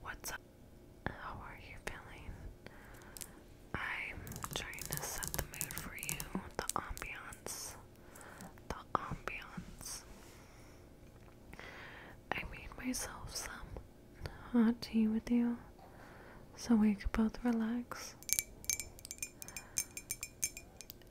What's up? How are you feeling? I'm trying to set the mood for you, the ambiance. The ambiance. I made myself some hot tea with you so we could both relax.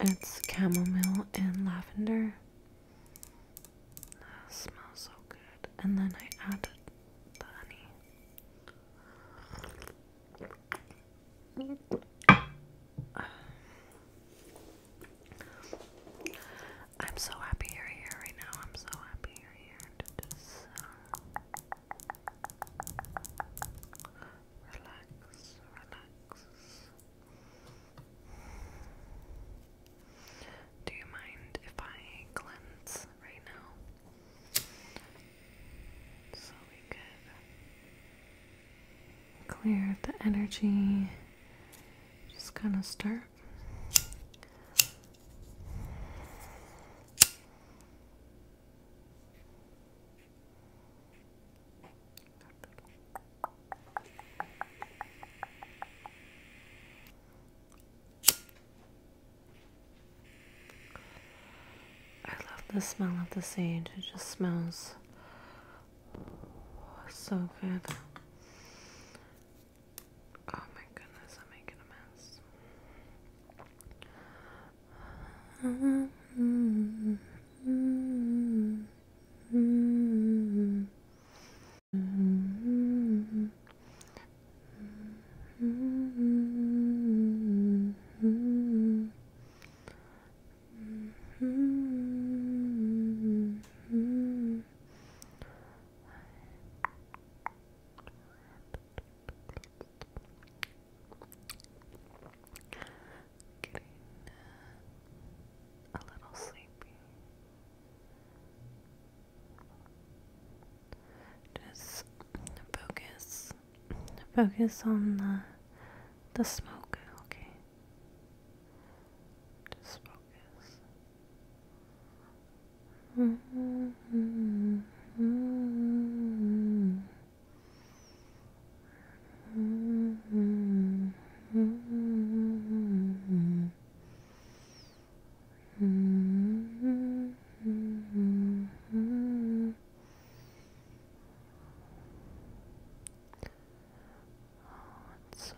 It's chamomile and lavender. smells so good. And then I added the honey. I'm so happy you're here right now. I'm so happy you're here to just uh, relax, relax. Do you mind if I cleanse right now? So we could clear up the energy. Just kind of start I love the smell of the sage. It just smells so good. Oh my goodness, I'm making a mess. getting a little sleepy. Just focus, focus on the the smoke. Okay. Just focus. Hmm. -hmm, Hmm. -hmm, Hmm. -hmm, Hmm. -hmm. Hmm. -hmm. Oh, it's so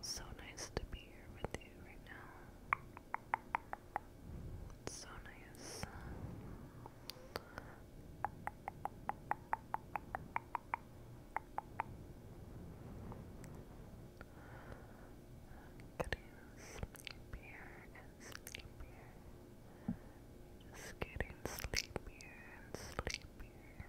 so nice to be here with you right now. It's so nice. Getting sleepier and sleepier. Just getting sleepier and sleepier.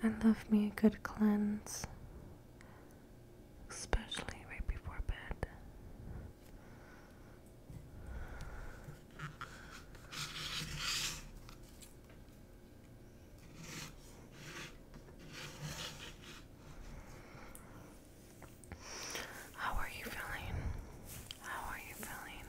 And love me a good cleanse, especially right before bed. How are you feeling? How are you feeling?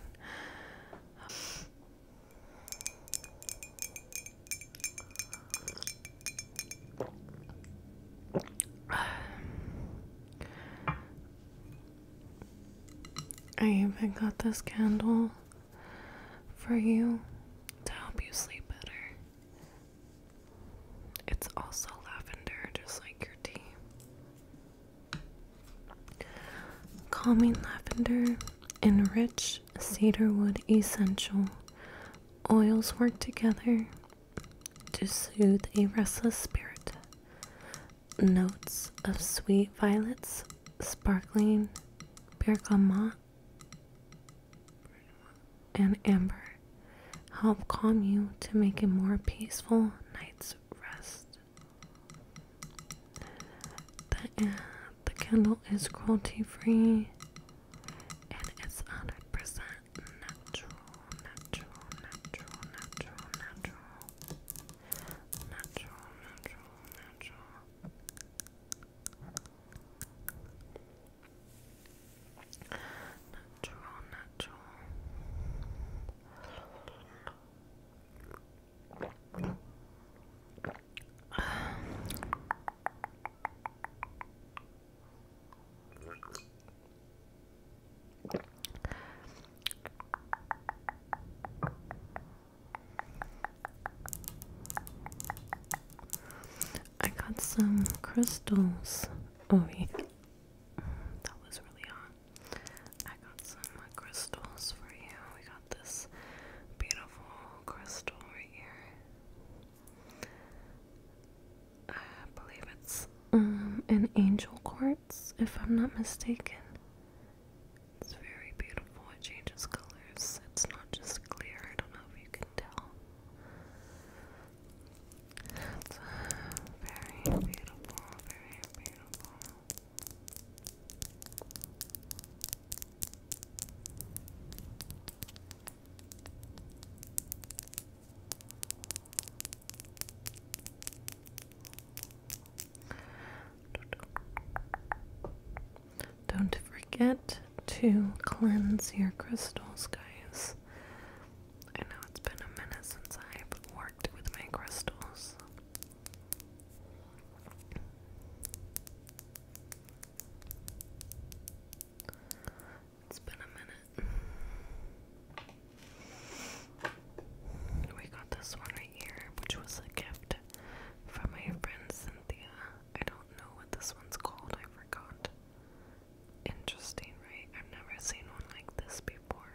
I even got this candle for you to help you sleep better. It's also lavender, just like your tea. Calming lavender and rich cedarwood essential oils work together to soothe a restless spirit. Notes of sweet violets, sparkling bergamot, and amber help calm you to make a more peaceful night's rest. The, uh, the candle is cruelty free and it's 100% natural, natural, natural, natural, natural, natural, natural, natural. Natural, natural. I got some crystals. Oh, wait. That was really hot. I got some uh, crystals for you. We got this beautiful crystal right here. I believe it's um, an angel quartz, if I'm not mistaken. It's very beautiful. It changes colors. It's not just clear. I don't know if you can tell. Uh, very beautiful, very beautiful. Don't forget to cleanse your crystals, guys. I know it's been a minute since I've worked with my crystals. It's been a minute. We got this one which was a gift from my friend Cynthia. I don't know what this one's called, I forgot. Interesting, right? I've never seen one like this before.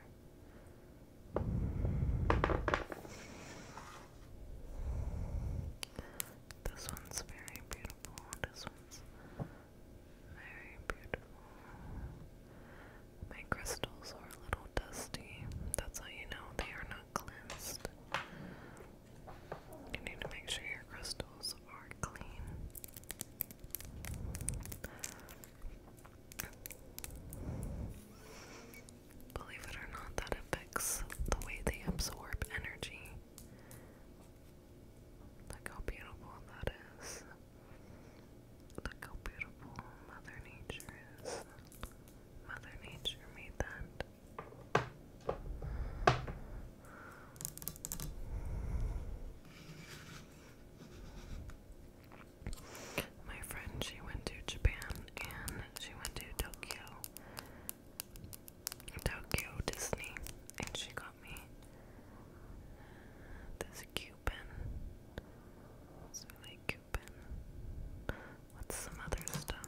This one's very beautiful. This one's very beautiful. My crystals are a little dusty. That's how you know they are not You need to make sure your crystals are clean. Believe it or not, that affects the way they absorb energy. Look how beautiful that is. Look how beautiful Mother Nature is. Mother Nature made that. My friend, she went to Japan and she went to Tokyo, Tokyo Disney, and she got me this Cuban. It's really cute. What's some other stuff?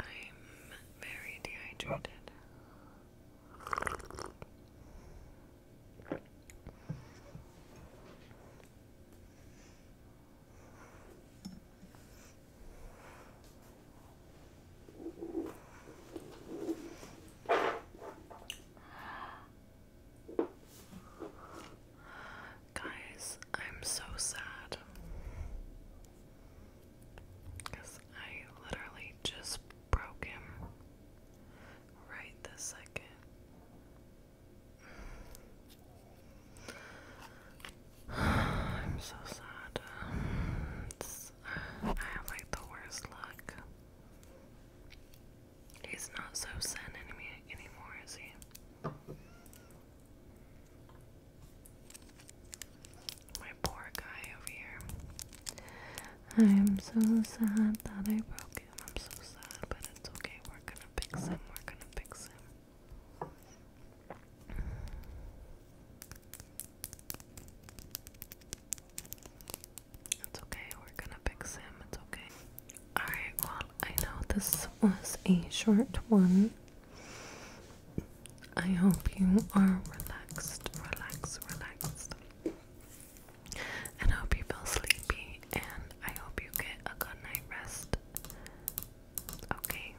I'm very dehydrated. Guys, I'm so sad because I literally just broken right the second. I'm so sad. I have like the worst luck. He's not so zen enemy anymore, is he? My poor guy over here. I am so sad that I broke him. I'm so sad, but it's okay. We're gonna fix him. We're gonna fix him. It's okay. We're gonna fix him. It's okay. Alright, well, I know this was a short one. I hope you are relaxed, relaxed, relaxed and I hope you feel sleepy and I hope you get a good night rest. Okay.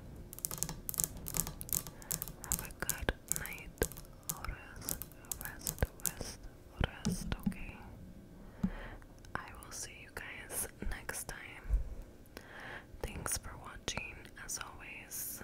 Have a good night. Rest, rest, rest, rest, okay. I will see you guys next time. Thanks for watching as always.